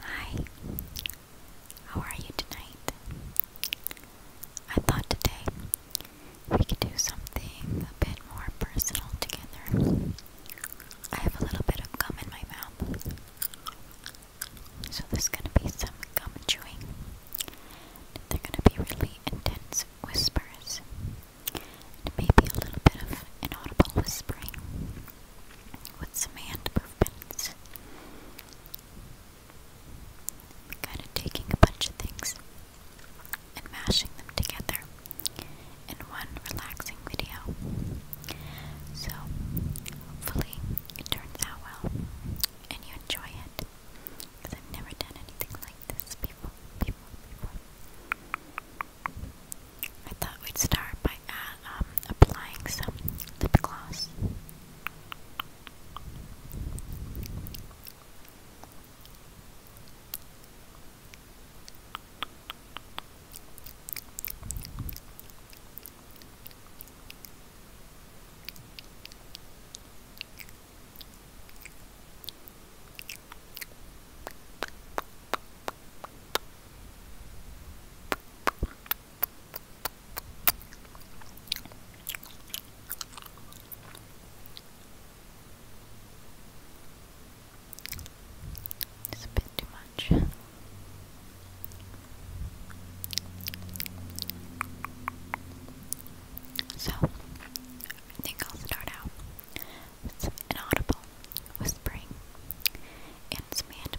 Hi, how are you tonight? I thought today we could do something a bit more personal together. I have a little bit of gum in my mouth, so there's gonna be some gum chewing. They're gonna be really intense whispers, and maybe a little bit of inaudible whispering with some hand movements. kind of taking a bunch of things and mashing them together in one relaxing video. So, hopefully, it turns out well and you enjoy it. Because I've never done anything like this before. before, before. I thought we'd start by uh, um, applying some lip gloss. It's a bit too much. So, I think I'll start out with inaudible whispering and some hand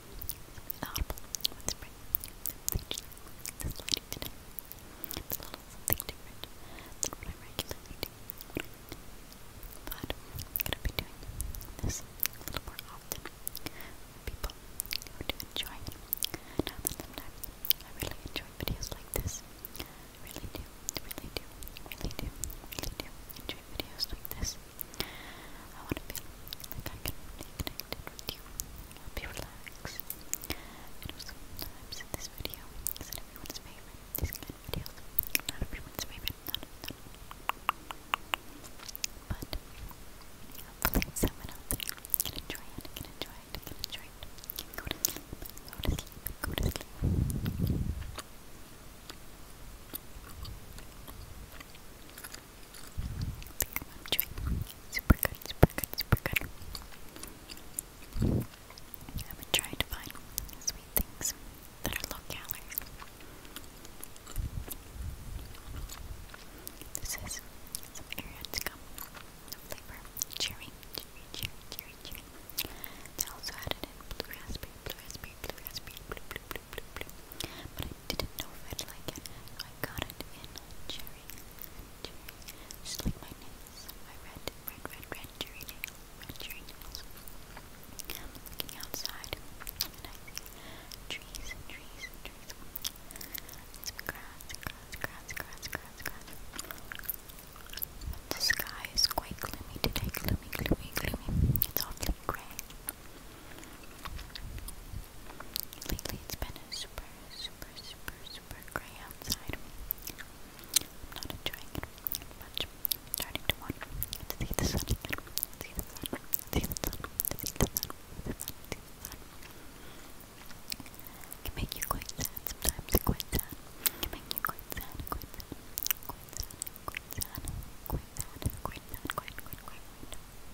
inaudible with I am gonna be doing this a little more often people who do it. Now I really enjoy videos like this. Really do, really do, really do, really do enjoy videos like this like I can be connected with you, help you relax. I know sometimes in this video is not everyone's favorite, these kind not everyone's favorite, but hopefully someone out enjoy it, enjoy it, enjoy it, go to sleep, go to sleep. I'm doing super good, super good, super good. I've trying to find sweet things that are low calorie. This is some area to come. No flavor. Cherry, cherry, cherry, cherry, cherry. They also added blue raspberry, blue raspberry, blue raspberry, blue, blue, blue, blue, blue didn't know if like it. I got it in cherry, cherry, just my nails, my red, red, red, cherry cherry looking outside, trees and trees and trees. Some grass, grass, grass, grass, grass, grass. But the sky is quite gloomy today, gloomy, gloomy, gloomy. It's awfully gray. Lately it's been a super, super, super, super grey outside. not enjoying it much. starting to want to see the sun See the sun, see the sun, see the sun, see the sun, see the sun. can make you quite sad sometimes, quite sad. can make you quite sad, quite sad, quite sad, quite sad, quite sad, quite, quite, quite.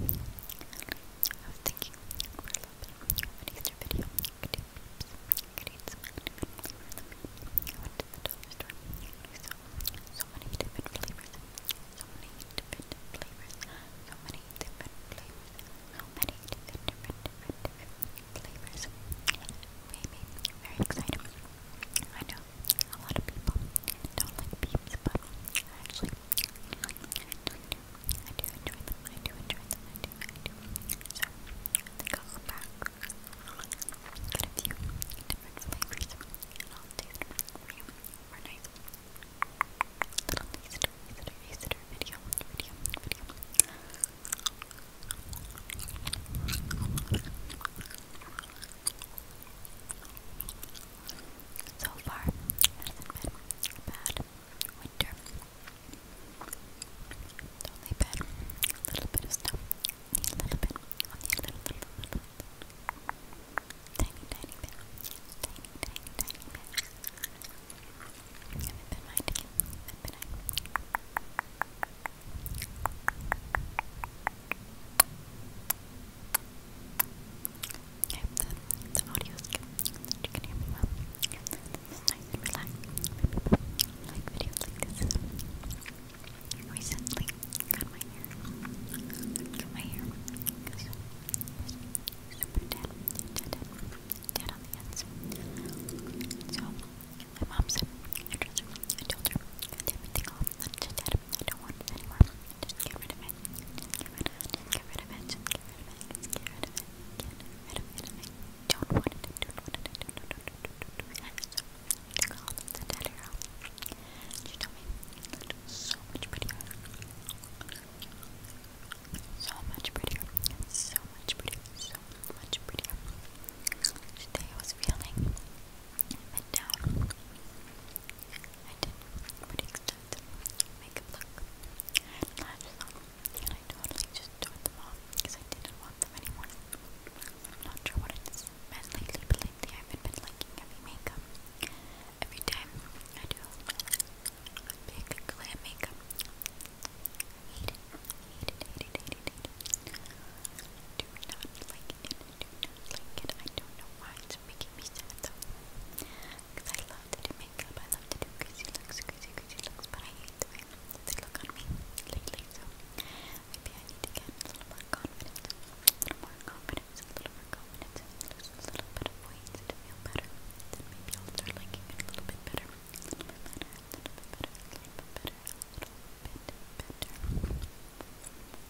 I was thinking for a little bit so many different flavors. So many different flavors. So many different flavors. So many different, different, different, flavors. Made me very excited. I know a lot of people don't like beans, but I actually I do enjoy them. I do enjoy them. I do. I do. So I think back, get a few different flavors, and I'll taste them for you for a little taster, taster, taster video, video, video. I so far, hasn't been bad winter. only been a little bit of snow, a little bit, a little, little, little, tiny, tiny bit, tiny, tiny, bit. Haven't been minding haven't been minding I the, the audio is good, you can hear me well. nice and like videos like this. Recently, cut my hair. Cut my hair super dead, dead, dead, dead on the ends. So, my mom said, I trust her, I told her, cut everything off, I don't want it anymore. Just get rid of it. get rid of it. get rid of it. get rid of it. get rid of it. I don't want it. don't want it. don't want it. So, much prettier. So much prettier. So much prettier. So much prettier. Today I was feeling down. I did pretty extensive makeup look and lashes on, and I totally just tore them off because I didn't want them anymore. I'm not sure what it's lately, lately I haven't been liking heavy makeup. Every time I do big glam makeup, I Do not like it do not I don't know why it's making me sad though. I love to do makeup, I love to do crazy looks, crazy, crazy looks, but I hate the way they look on me lately. So maybe I need to get a little more confidence, a little more confidence, a little more confidence, lose a little bit of weight to feel better. Then maybe I'll better, little bit better, little bit better, little bit better, little bit better. little bit better.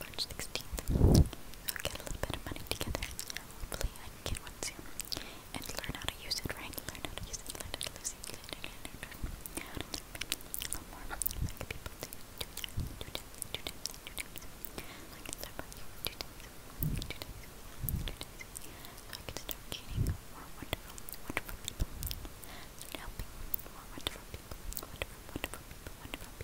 March i get a little bit of money together. Hopefully I can one soon. And learn how to use it, right? Learn how to use it, learn how to use it, learn how to use it. Learn how to use it. more like people do. Do that, do that, do that, do that. I can start by you. Do that, do that, do that. So I can start creating more wonderful, wonderful people. Start helping more wonderful people. Wonderful, wonderful people, wonderful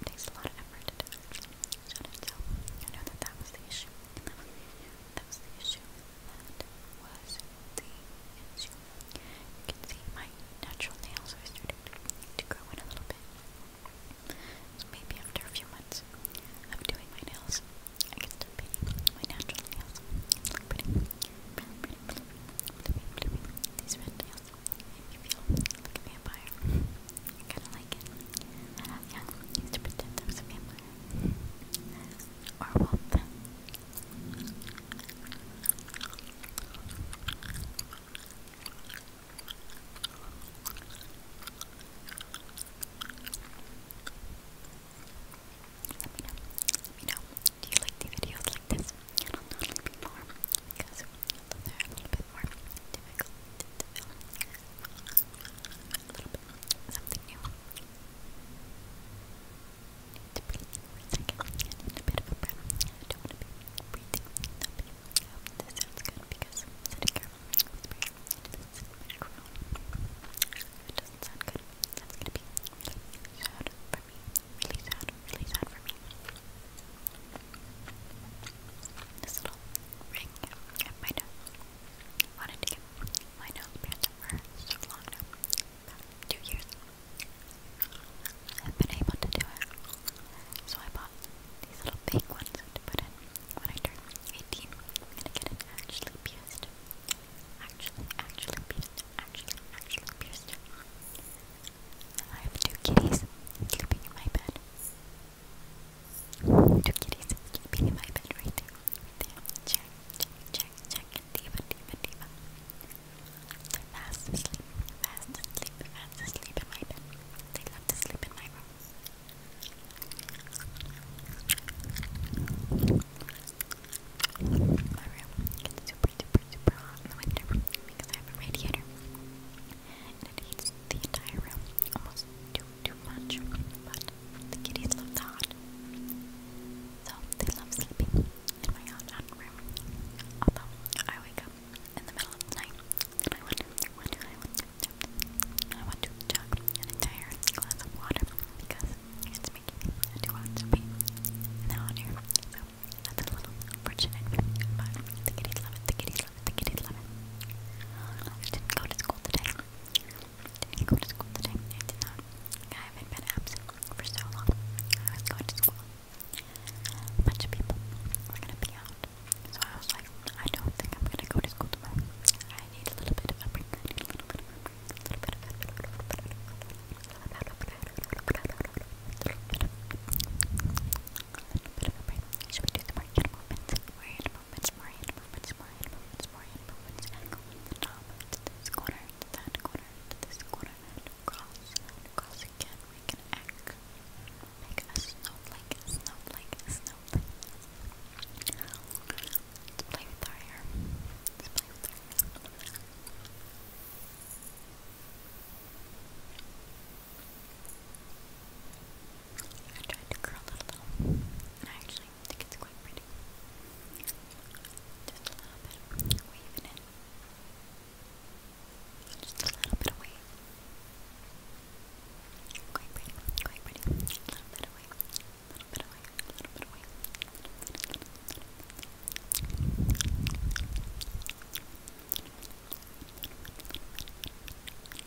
it takes a lot of effort to do it. Shut I know that that was the issue. That was the issue. That was the issue. You can see my natural nails are starting to grow in a little bit. So maybe after a few months of doing my nails, I can start painting my natural nails. It's like pretty, pretty, pretty, pretty, pretty, pretty, pretty, I kinda like it. When I was young, I used to pretend I was a vampire. Or a wolf. Let me know. Let me know. Do you like the videos like this? I don't know, let me more. Because although they a little bit more difficult A little bit something new. Need to breathe for a second. a bit of a breath. I don't want to be breathing this sounds good because I'm sitting here whispering into it doesn't sound good, that's going to be really sad Really sad, really sad for me this little ring at my nose. Wanted to get my nose pierced for so long now, two years. I've been able to do it, so I bought these little fake ones to put in when I turn 18. I'm gonna get it actually pierced. Actually, actually pierced. Actually, actually pierced. I have two kitties sleeping in my bed. Two kitties sleeping in my bed right there. Check, check, check, check. Diva, diva, diva. They're in my bed. They love to sleep in my room. My room gets super, super, super hot in the winter because I have a radiator and it heats the entire room almost too too much. But the kitties love the so they love sleeping in my hot room. Although I wake up in the middle of the night and I want to, I want to, I want to, I want to chug an entire glass of water because it's making me too hot to be in the hot So that's a little unfortunate, but the kitties love it. The kitties I didn't go to school today. I didn't go to school today. I have been absent for so long. I was going to school. A bunch of people were going to be out. So I was like, I don't think I'm going to go to school tomorrow. need a little bit of a break a little bit of a break. Should we do some more hand movements? More hand movements, more hand movements, more hand movements, more hand movements. Go to this corner, to that corner, to this corner, and across, and across again. We can act a snowflake, snowflake, snowflake. Let's play with our hair. I tried to curl it a little, I actually think it's quite pretty. Just a little bit of Just a little bit of Quite pretty, quite pretty. A little bit of a little bit of a little bit of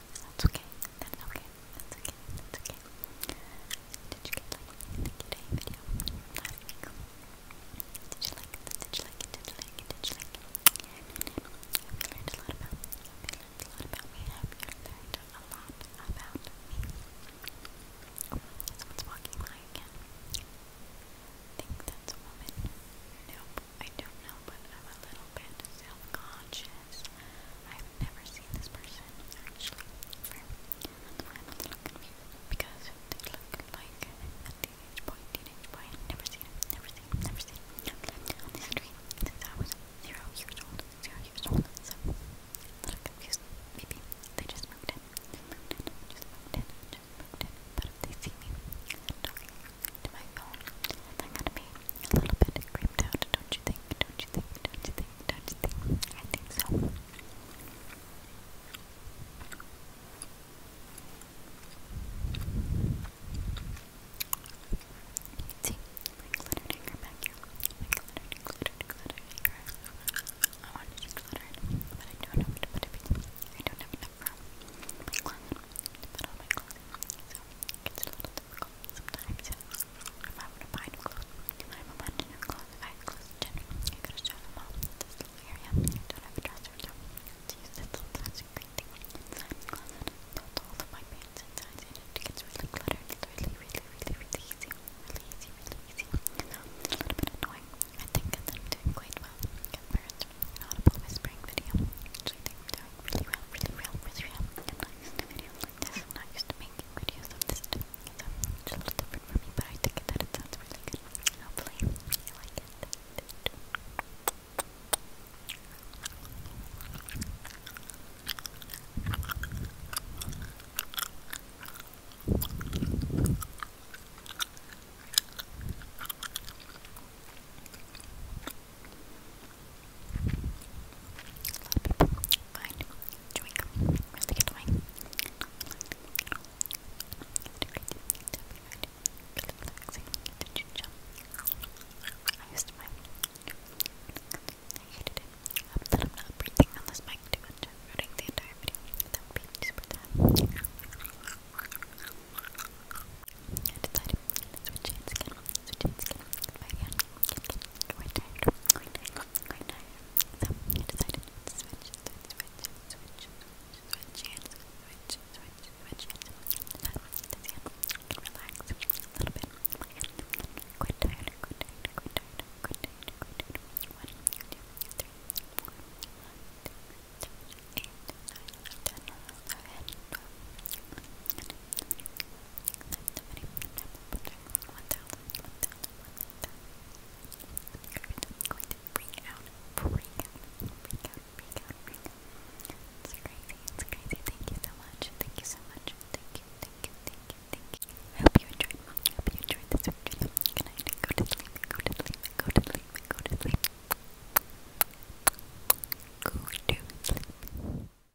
That's okay. That's okay. That's okay. That's okay. Did you like the Did you like it? Did you like it? Did you like it? Did you learned a lot about me. We learned a lot about me. Have learned a lot about me? Oh, someone's walking by again. that's a woman. Nope, I do know, but I'm a little bit self-conscious this. I've never seen this person actually because they look like a teenage boy, teenage boy. Never seen him, never seen him, never seen him. on the street since I was zero years old, zero years old. So I'm a little confused. Maybe they just moved just moved just moved But they see me talking to my phone, they're gonna be a little bit creeped out, don't you think? Don't you think? Don't you think? Don't you think? I think so. See, my glittered anchor back here. My glittered, glittered, glittered anchor. I want to glitter but I don't know where I don't have enough room. My closet. To all my closet. So, it's a little difficult I were to buy new clothes, I were to buy new clothes, if I general, I could have shown them all in this little don't have a dresser, so to use this the closet. Put all of It's a little bit annoying. I think that I'm doing quite well compared to an audible whispering video, which I really well, really well, really well this used to making videos of this So it's a little different for me, but I think that it sounds really good. Hopefully you like it. A lot of people find chewing gum really I used my, I am not breathing on this mic too much, i the entire video. I decided to switch hands again, switch hands again, quite tired, quite tired, quite tired. So I decided to switch, switch, switch, switch, switch, hands, switch, switch, switch, hands. So that this hand can relax a little bit. My hand, quite tired, quite tired, quite tired, quite tired, quite tired. One, two, three, four, five, six, seven, eight, nine, ten, eleven, twelve, thirteen, fourteen, fifteen, sixteen, seventeen, eighteen, nineteen, twenty, twenty-one, twenty-two, twenty-three, twenty-four, twenty-five, twenty-six, twenty-seven, twenty-eight, twenty-nine, thirty. It's crazy, it's crazy. Thank you so much, thank you so much, thank you, thank you, thank you, thank you. I hope you enjoyed, I hope you enjoyed this Good night, go to sleep, go to sleep, go to sleep. Go to sleep.